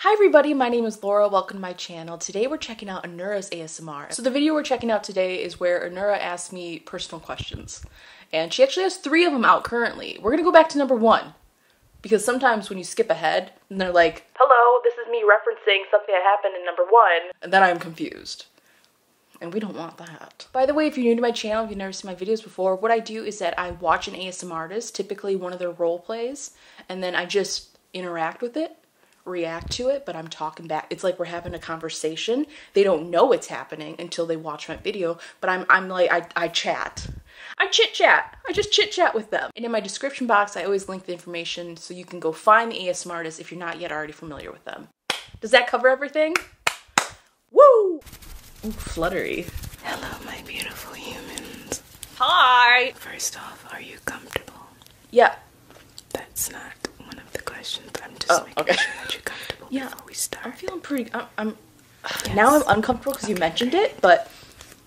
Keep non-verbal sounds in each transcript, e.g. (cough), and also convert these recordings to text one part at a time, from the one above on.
Hi everybody, my name is Laura. Welcome to my channel. Today we're checking out Anura's ASMR. So the video we're checking out today is where Anura asked me personal questions. And she actually has three of them out currently. We're gonna go back to number one. Because sometimes when you skip ahead, and they're like, Hello, this is me referencing something that happened in number one. And then I'm confused. And we don't want that. By the way, if you're new to my channel, if you've never seen my videos before, what I do is that I watch an ASMR artist, typically one of their role plays, and then I just interact with it, react to it, but I'm talking back. It's like we're having a conversation. They don't know it's happening until they watch my video, but I'm I'm like I, I chat. I chit chat. I just chit chat with them. And in my description box, I always link the information so you can go find the ASMR artists if you're not yet already familiar with them. Does that cover everything? Woo! Ooh, fluttery. Hello, my beautiful humans. Hi. First off, are you comfortable? Yeah. That's not one of the questions, but I'm just oh, making sure that you're comfortable yeah. we start. I'm feeling pretty. I'm. Now I'm uncomfortable because you mentioned it, but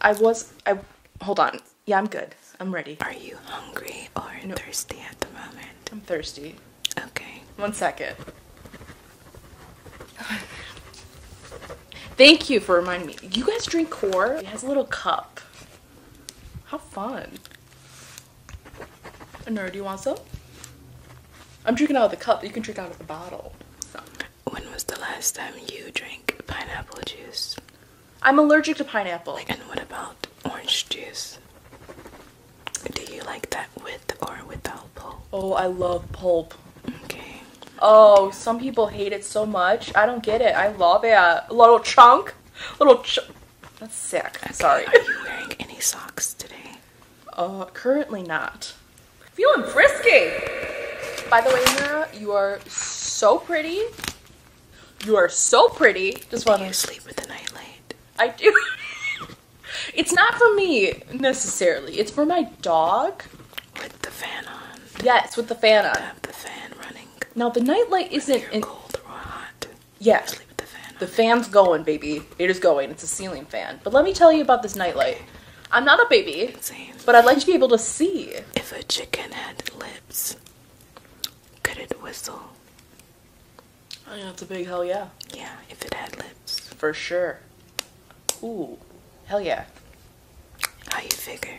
I was. I hold on. Yeah, I'm good. I'm ready. Are you hungry or thirsty at the moment? I'm thirsty. Okay. One second. Thank you for reminding me. You guys drink core? It has a little cup. How fun. Nerd, do you want some? I'm drinking out of the cup, you can drink out of the bottle. When was the last time you drank pineapple juice? I'm allergic to pineapple. Like, and what about orange juice? Do you like that with or without pulp? Oh, I love pulp. Okay. Oh, some people hate it so much. I don't get it. I love it. A uh, Little chunk. Little chunk. That's sick. Sorry. Are you wearing any socks today? Uh, currently not. Feeling frisky. By the way, Mira, you are so pretty. You are so pretty. Just want to sleep with the nightlight. I do. (laughs) it's not for me necessarily. It's for my dog. With the fan on. Yes, with the fan on. Have the fan running. Now the nightlight isn't in cold or hot. Yeah. Sleep with the fan. The fan's going, baby. It is going. It's a ceiling fan. But let me tell you about this nightlight. I'm not a baby, but I'd like to be able to see. If a chicken had lips, could it whistle? Oh, think that's a big hell yeah. Yeah, if it had lips. For sure. Ooh, hell yeah. How you figure?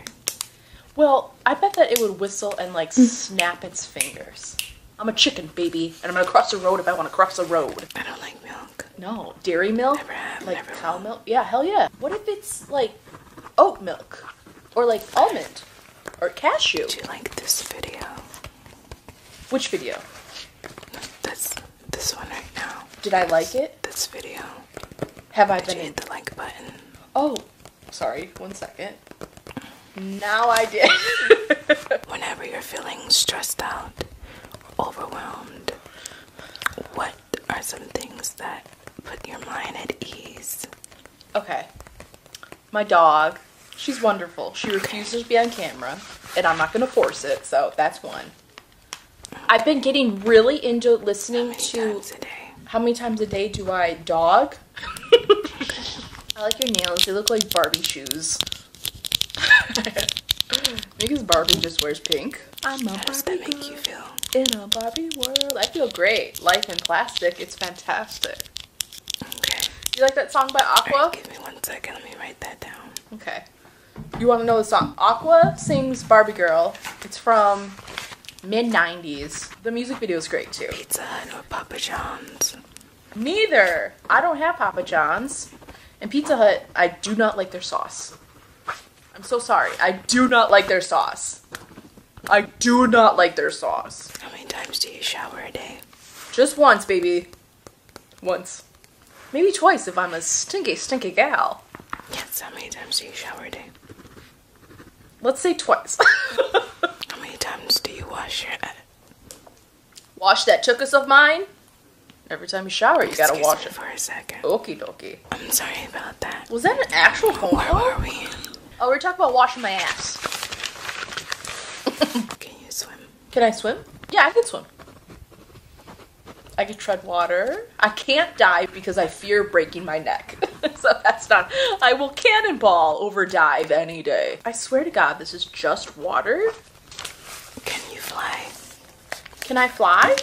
Well, I bet that it would whistle and like mm. snap its fingers. I'm a chicken, baby, and I'm gonna cross the road if I wanna cross the road. I don't like milk. No. Dairy milk? like cow milk? Yeah, hell yeah. What if it's like oat milk? Or like almond? Or cashew? Do you like this video? Which video? This this one right now. Did I like it? This video. Have I been? You hit the like button. Oh, sorry. One second. Now I did. (laughs) Whenever you're feeling stressed out, overwhelmed, what are some things that put your mind at ease? Okay. My dog. She's wonderful. She refuses to be on camera, and I'm not going to force it, so that's one. I've been getting really into listening to. How many times a day do I dog? (laughs) I like your nails. They look like Barbie shoes. (laughs) because Barbie just wears pink. I'm a How does Barbie that make you feel? In a Barbie world, I feel great. Life in plastic. It's fantastic. You like that song by Aqua? give me one second. Let me write that down. Okay. You want to know the song? Aqua sings Barbie Girl. It's from mid 90s. The music video is great too. Pizza Hut or Papa John's? Neither. I don't have Papa John's. And Pizza Hut, I do not like their sauce. I'm so sorry. I do not like their sauce. I do not like their sauce. How many times do you shower a day? Just once, baby. Once. Maybe twice if I'm a stinky, stinky gal. Yes, how many times do you shower a day? Let's say twice. (laughs) how many times do you wash your head? Wash that chookus of mine? Every time you shower, you gotta wash it. for a second. Okey dokey. I'm sorry about that. Was that an actual phone Where call? we? Oh, we are talking about washing my ass. can you swim? Can I swim? Yeah, I can swim. I can tread water. I can't dive because I fear breaking my neck. (laughs) so that's not. I will cannonball over dive any day. I swear to God, this is just water. Can you fly? Can I fly?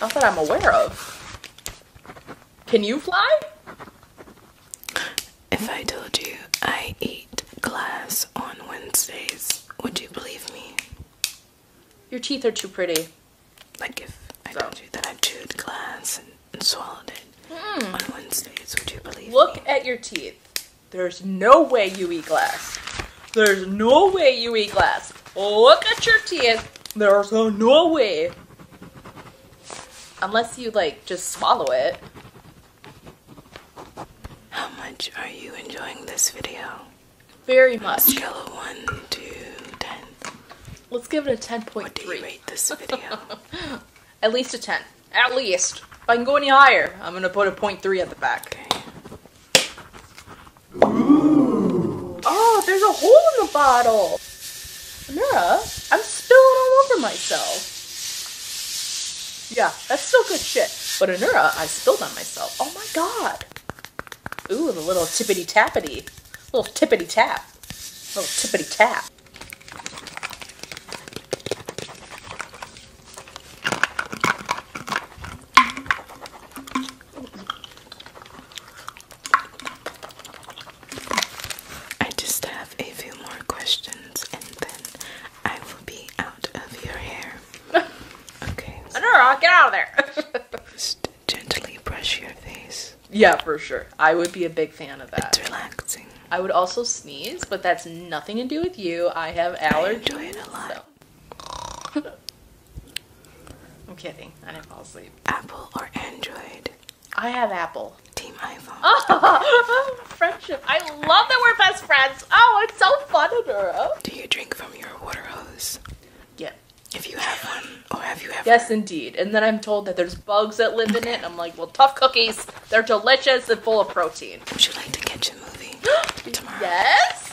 Not that I'm aware of. Can you fly? If I told you I eat glass on Wednesdays, would you believe me? Your teeth are too pretty. Like if I told you that I chewed glass and, swallowed it on Wednesdays, would you believe Look at your teeth. There's no way you eat glass. There's no way you eat glass. Look at your teeth. There's no way. Unless you like just swallow it. How much are you enjoying this video? Very much. 1 to Let's give it a 10.3. What do you rate this video? (laughs) At least a 10. At least. If I can go any higher, I'm going to put a 0.3 at the back. Oh, there's a hole in the bottle. Amira, I'm spilling all over myself. Yeah, that's still good shit. But Anura, I spilled on myself. Oh my god. Ooh, the little tippity tappity. Little tippity tap. Little tippity tap. I just have a few more questions and then I will be out of your hair. (laughs) Okay. No, no, get out of there. (laughs) Just gently brush your face. Yeah, for sure. I would be a big fan of that. It's relaxing. I would also sneeze, but that's nothing to do with you. I have allergies. I enjoy it a (laughs) I'm kidding. I didn't fall asleep. Apple or Android? I have Apple. Team iPhone. friendship. I love that we're best friends. Oh, it's so fun, girl. Do you drink from your water hose? Yeah. If you have one, or oh, have you ever? Yes, indeed. And then I'm told that there's bugs that live in it. And I'm like, well, tough cookies. They're delicious and full of protein. Would you like to catch a movie (gasps) tomorrow? Yes.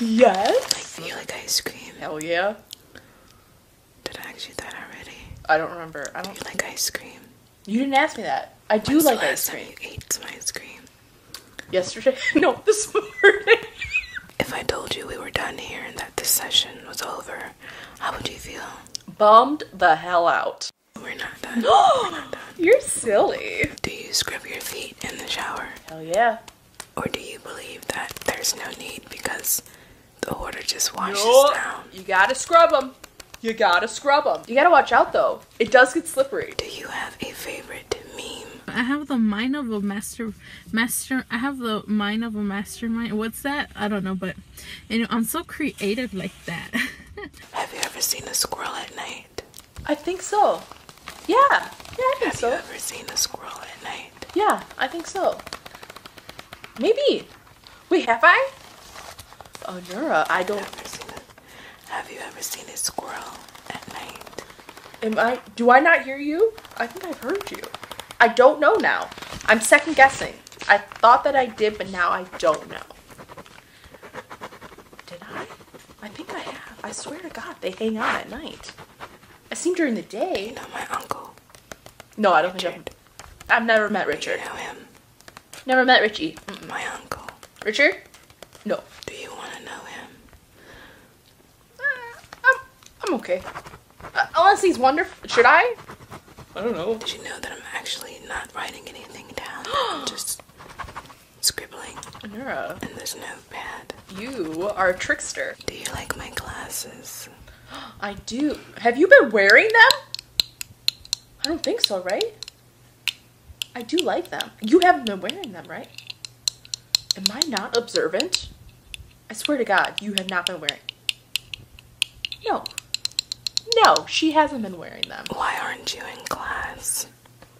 Yes. Like, you like ice cream? Hell yeah. Did I ask you that already? I don't remember. I don't. Do like ice cream? You didn't ask me that. I do like the ice cream. Time you ate some ice cream. Yesterday? (laughs) No, this morning. if I told you we were done here and that this session was over, how would you feel? Bummed the hell out. We're not done. (gasps) we You're silly. Do you scrub your feet in the shower? Hell yeah. Or do you believe that there's no need because the water just washes down? You gotta scrub them. You gotta scrub them. You gotta watch out though. It does get slippery. Do you have a favorite meme? I have the mind of a master, master, I have the mind of a mastermind. What's that? I don't know, but I'm so creative like that. (laughs) have you ever seen a squirrel at night? I think so. Yeah, yeah, Have you ever seen a squirrel at night? Yeah, I think so. Maybe. Wait, have I? Oh, Onura, I don't. Have you ever seen a squirrel at night? Am I? Do I not hear you? I think I've heard you. I don't know now. I'm second guessing. I thought that I did, but now I don't know. Did I? I think I have. I swear to God, they hang out at night. I seen during the day. Not my uncle. No, I don't think I've. I've never met Richard. I know him. Never met Richie. My uncle. Richard? No. Do you want to know him? Uh, I'm, okay. Uh, unless he's wonderful. Should I? I don't know. Did you know that I'm actually not writing anything down? (gasps) I'm just scribbling. Nura. In this notepad. You are a trickster. Do you like my glasses? (gasps) I do. Have you been wearing them? I don't think so, right? I do like them. You haven't been wearing them, right? Am I not observant? I swear to God, you have not been wearing. No. No, she hasn't been wearing them. Why aren't you in class?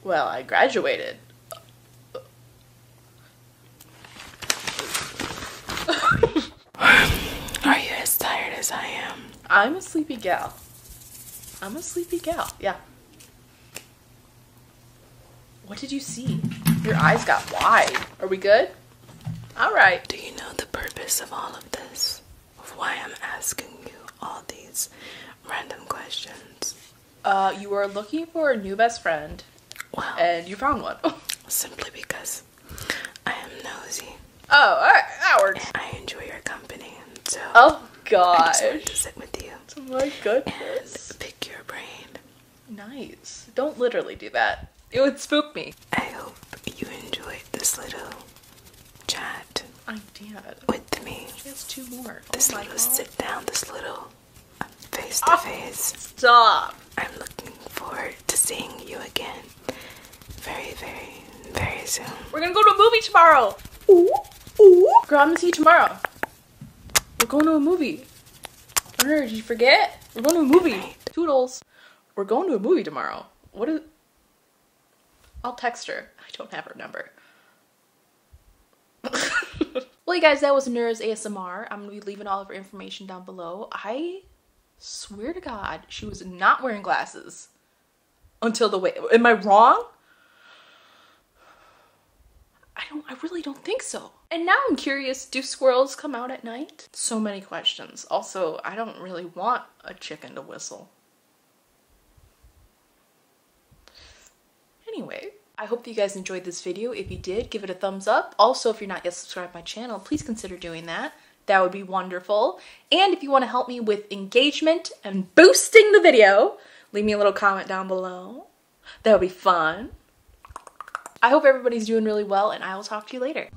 Well, I graduated. (laughs) Are you as tired as I am? I'm a sleepy gal. I'm a sleepy gal, yeah. What did you see? Your eyes got wide. Are we good? All right. Do you know the purpose of all of this? Of why I'm asking you all these random questions? Uh, you were looking for a new best friend. Well, and you found one. (laughs) simply because I am nosy. Oh, that works. I enjoy your company, Oh God. I am wanted to sit with you. Oh my goodness. pick your brain. Nice. Don't literally do that. It would spook me. I hope you enjoyed this little chat. I did. With me. She two more. Oh this oh little sit down, this little face to ah, face. stop. I'm looking forward to seeing you again very, very, very soon. We're gonna go to a movie tomorrow. Ooh, ooh. Girl, I'm gonna see you tomorrow. We're going to a movie. Hunter, did you forget? We're going to a movie. Toodles. We're going to a movie tomorrow. What is... I'll text her. I don't have her number. (laughs) well, you guys, that was Nura's ASMR. I'm gonna be leaving all of her information down below. I Swear to God, she was not wearing glasses until the way. Am I wrong? I don't, I really don't think so. And now I'm curious, do squirrels come out at night? So many questions. Also, I don't really want a chicken to whistle. Anyway, I hope you guys enjoyed this video. If you did, give it a thumbs up. Also, if you're not yet subscribed my channel, please consider doing that that would be wonderful. And if you want to help me with engagement and boosting the video, leave me a little comment down below. That would be fun. I hope everybody's doing really well and I will talk to you later.